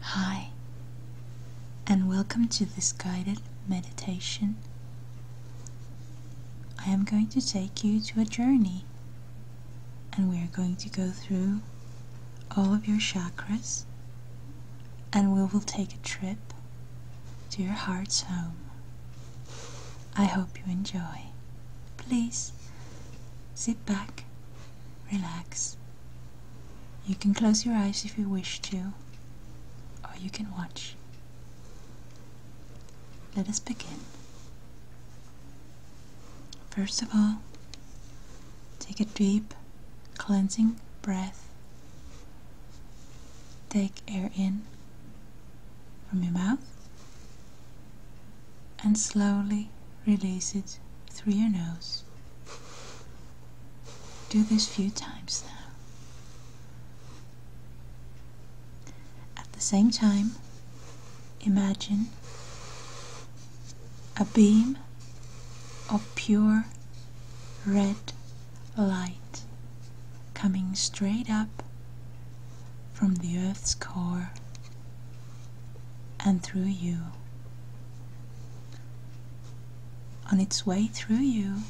Hi, and welcome to this guided meditation. I am going to take you to a journey, and we are going to go through all of your chakras, and we will take a trip to your heart's home. I hope you enjoy. Please sit back, relax. You can close your eyes if you wish to, or you can watch. Let us begin. First of all, take a deep, cleansing breath. Take air in from your mouth and slowly release it through your nose. Do this few times now. At the same time, imagine a beam of pure red light coming straight up from the earth's core and through you. On its way through you,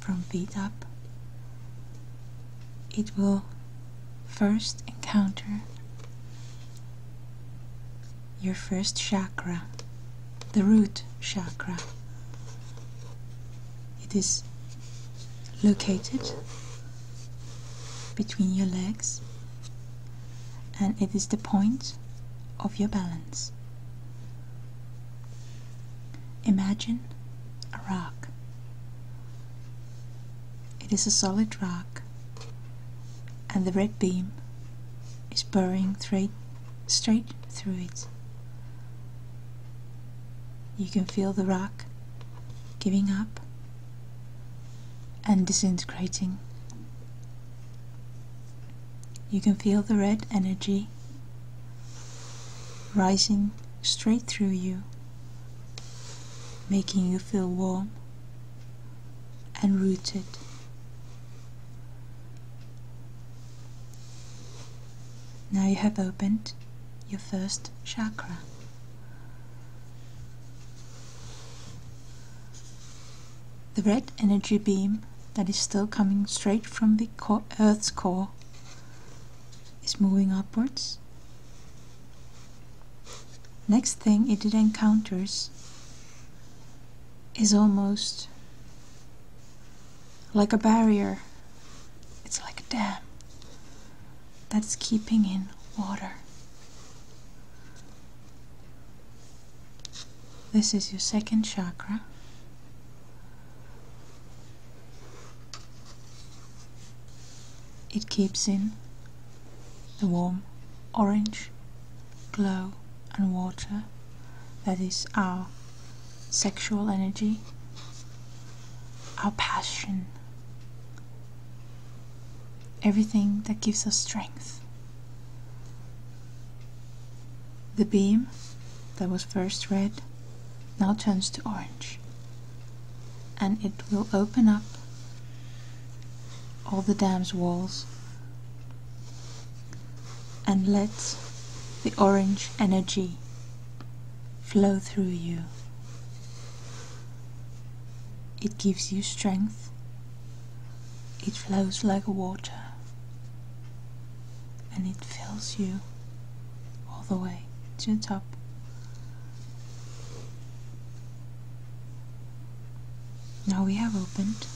from feet up, it will first encounter your first chakra, the root chakra, it is located between your legs and it is the point of your balance. Imagine a rock. It is a solid rock and the red beam is boring straight, straight through it. You can feel the rock giving up, and disintegrating. You can feel the red energy rising straight through you, making you feel warm and rooted. Now you have opened your first chakra. The red energy beam that is still coming straight from the Earth's core is moving upwards. Next thing it encounters is almost like a barrier. It's like a dam that's keeping in water. This is your second chakra. It keeps in the warm orange glow and water that is our sexual energy our passion, everything that gives us strength. The beam that was first red now turns to orange, and it will open up all the dam's walls and let the orange energy flow through you. It gives you strength. It flows like water and it fills you all the way to the top. Now we have opened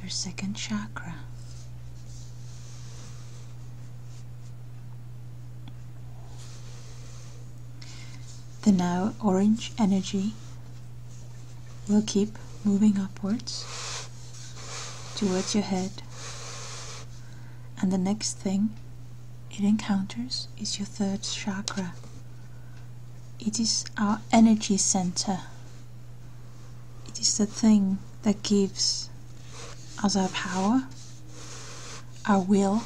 your second chakra. The now orange energy will keep moving upwards towards your head, and the next thing it encounters is your third chakra. It is our energy center. It is the thing that gives as our power, our will,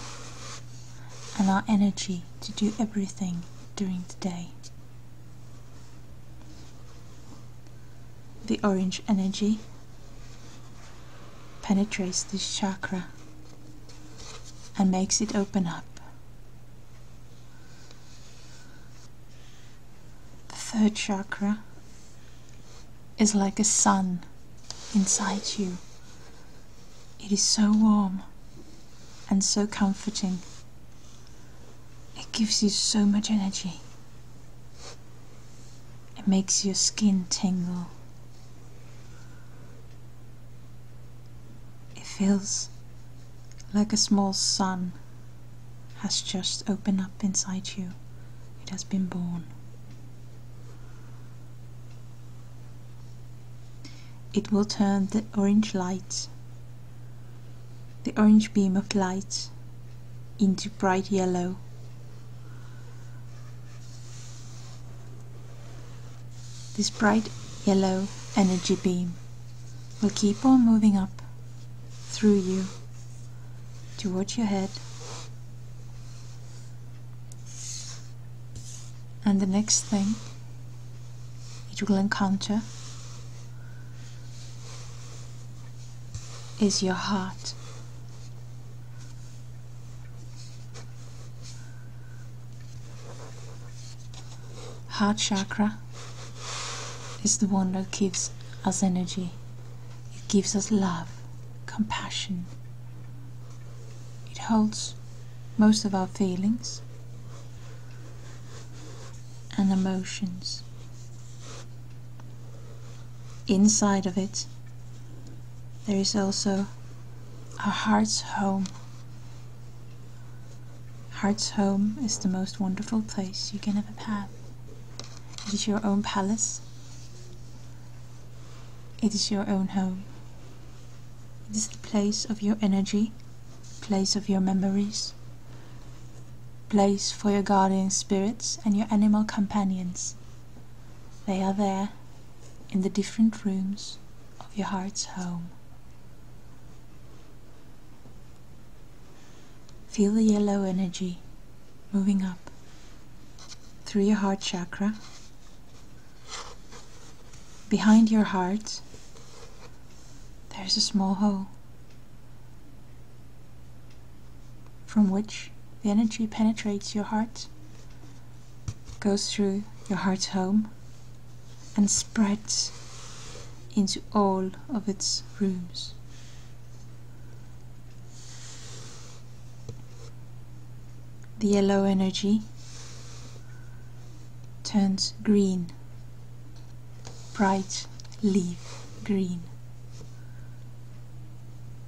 and our energy to do everything during the day. The orange energy penetrates this chakra and makes it open up. The third chakra is like a sun inside you. It is so warm and so comforting. It gives you so much energy. It makes your skin tingle. It feels like a small sun has just opened up inside you it has been born. It will turn the orange light, the orange beam of light, into bright yellow. This bright yellow energy beam will keep on moving up through you towards your head and the next thing you will encounter is your heart. Heart chakra is the one that gives us energy. It gives us love, compassion. It holds most of our feelings and emotions. Inside of it, there is also a heart's home. Heart's home is the most wonderful place you can ever have. It is your own palace it is your own home. It is the place of your energy, place of your memories, place for your guardian spirits and your animal companions. They are there in the different rooms of your heart's home. Feel the yellow energy moving up through your heart chakra, behind your heart, there's a small hole from which the energy penetrates your heart, goes through your heart home, and spreads into all of its rooms the yellow energy turns green bright leaf green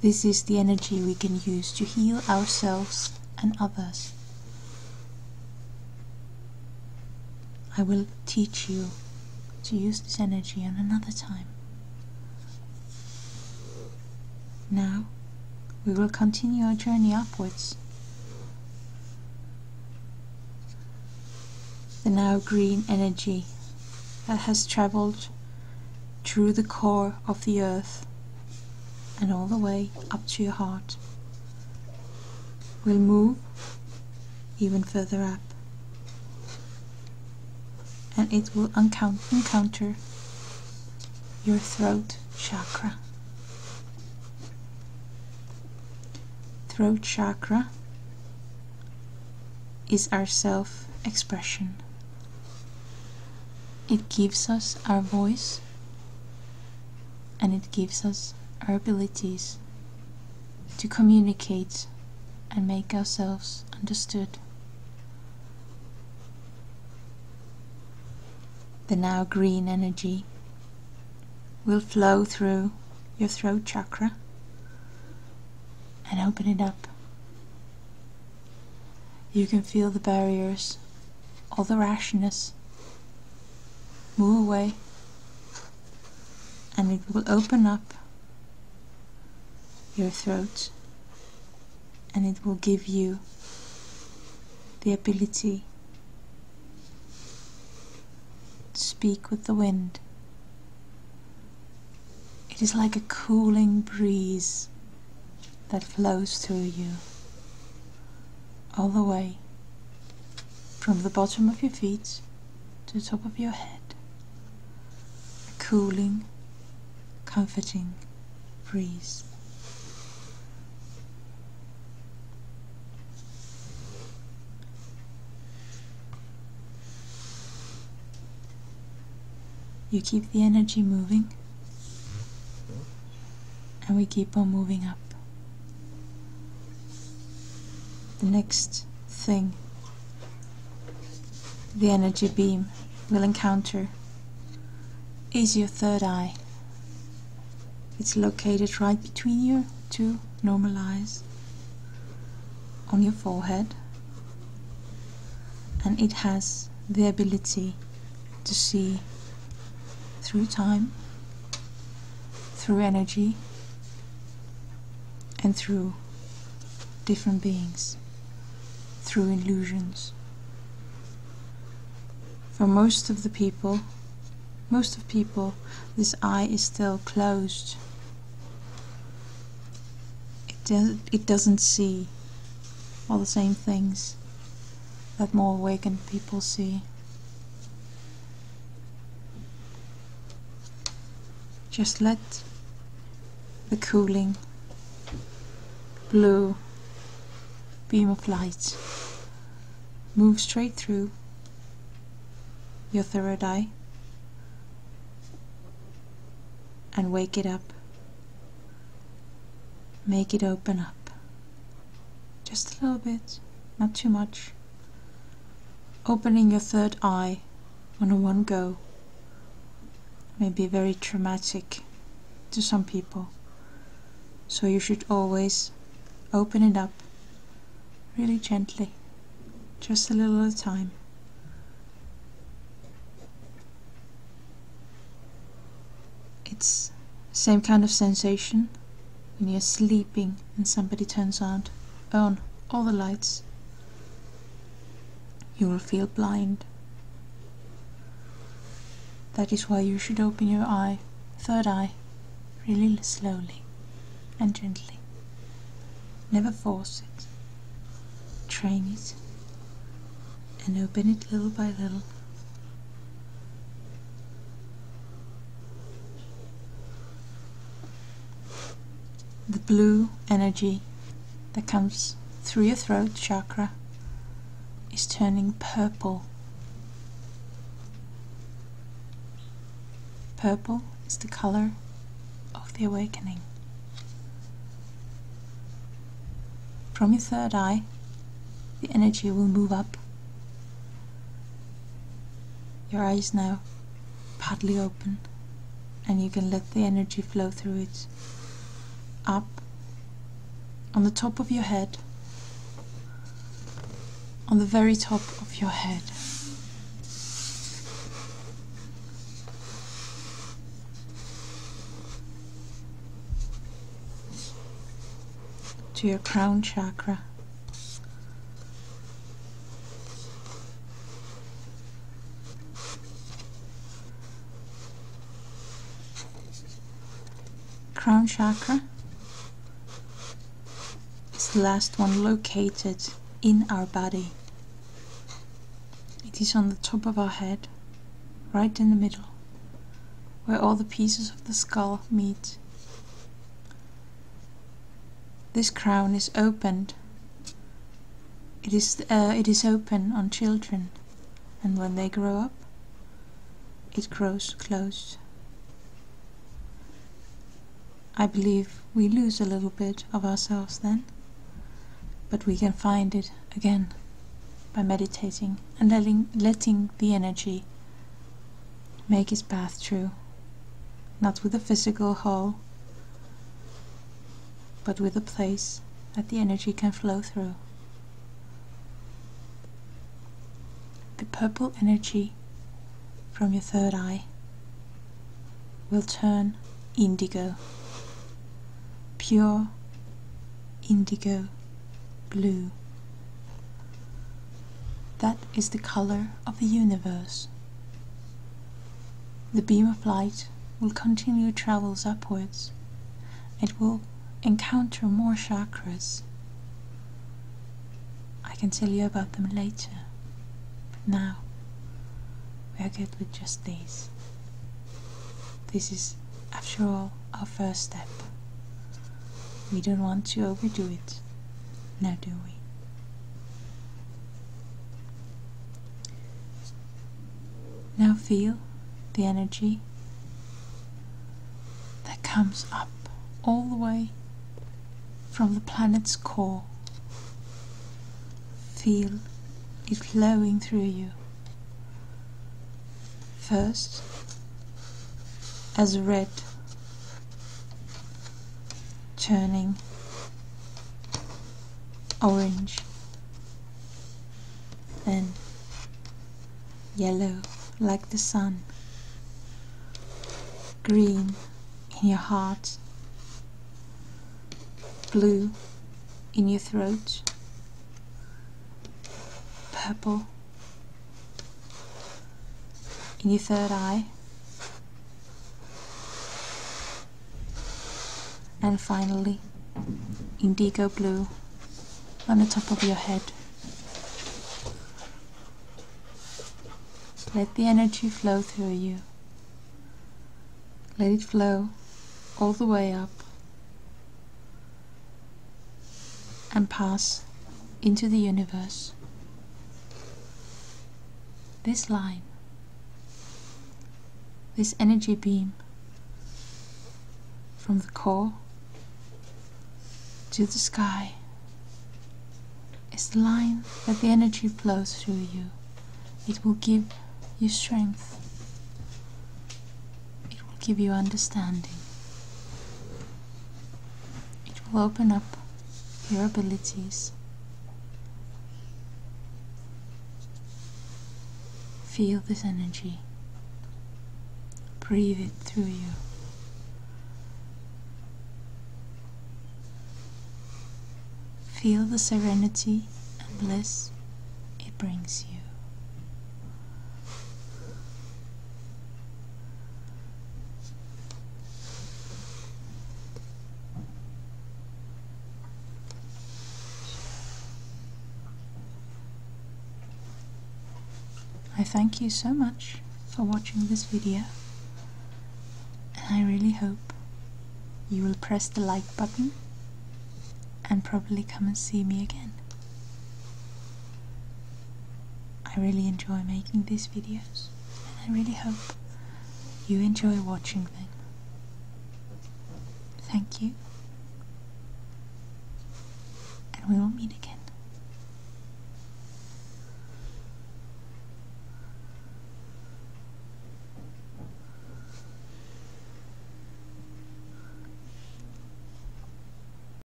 this is the energy we can use to heal ourselves and others I will teach you to use this energy on another time now, we will continue our journey upwards. The now green energy that has travelled through the core of the earth and all the way up to your heart will move even further up and it will encounter your throat chakra. Throat chakra is our self expression, it gives us our voice and it gives us our abilities to communicate and make ourselves understood. The now green energy will flow through your throat chakra and open it up. You can feel the barriers, all the rashness move away, and it will open up your throat and it will give you the ability to speak with the wind. It is like a cooling breeze that flows through you all the way from the bottom of your feet to the top of your head. A cooling, comforting breeze. You keep the energy moving, and we keep on moving up the next thing the energy beam will encounter is your third eye. It's located right between your two normal eyes on your forehead and it has the ability to see through time, through energy, and through different beings, through illusions. For most of the people, most of people, this eye is still closed. It, doesn't see all the same things that more awakened people see. Just let the cooling blue beam of light move straight through your third eye and wake it up. Make it open up just a little bit, not too much. Opening your third eye on one go may be very traumatic to some people. So you should always open it up really gently, just a little at a time. It's same kind of sensation when you're sleeping and somebody turns out on all the lights, you will feel blind. That is why you should open your eye, third eye, really slowly and gently. Never force it. Train it and open it little by little the blue energy that comes through your throat chakra is turning purple. Purple is the color of the awakening. From your third eye, the energy will move up. Your eyes now partly open and you can let the energy flow through it up on the top of your head on the very top of your head to your crown chakra Crown chakra is the last one located in our body. It is on the top of our head, right in the middle, where all the pieces of the skull meet. This crown is opened. It is, uh, it is open on children, and when they grow up, it grows closed. I believe we lose a little bit of ourselves then, but we can find it again by meditating and letting, letting the energy make his path true, not with a physical hall, but with a place that the energy can flow through. The purple energy from your third eye will turn indigo, pure indigo blue. That is the color of the universe. The beam of light will continue travels upwards. It will encounter more chakras. I can tell you about them later. But now, we are good with just these. This is, after all, our first step. We don't want to overdo it. Now do we? Now feel the energy that comes up all the way from the planet's core. Feel it flowing through you. First, as red turning orange, then yellow like the sun, green in your heart, blue in your throat, purple in your third eye, and finally, indigo blue on the top of your head. Let the energy flow through you. Let it flow all the way up and pass into the universe. This line, this energy beam from the core to the sky is the line that the energy flows through you. It will give you strength. It will give you understanding. It will open up your abilities. Feel this energy. Breathe it through you. Feel the serenity and bliss it brings you. I thank you so much for watching this video and I really hope you will press the like button and probably come and see me again. I really enjoy making these videos and I really hope you enjoy watching them. Thank you and we will meet again.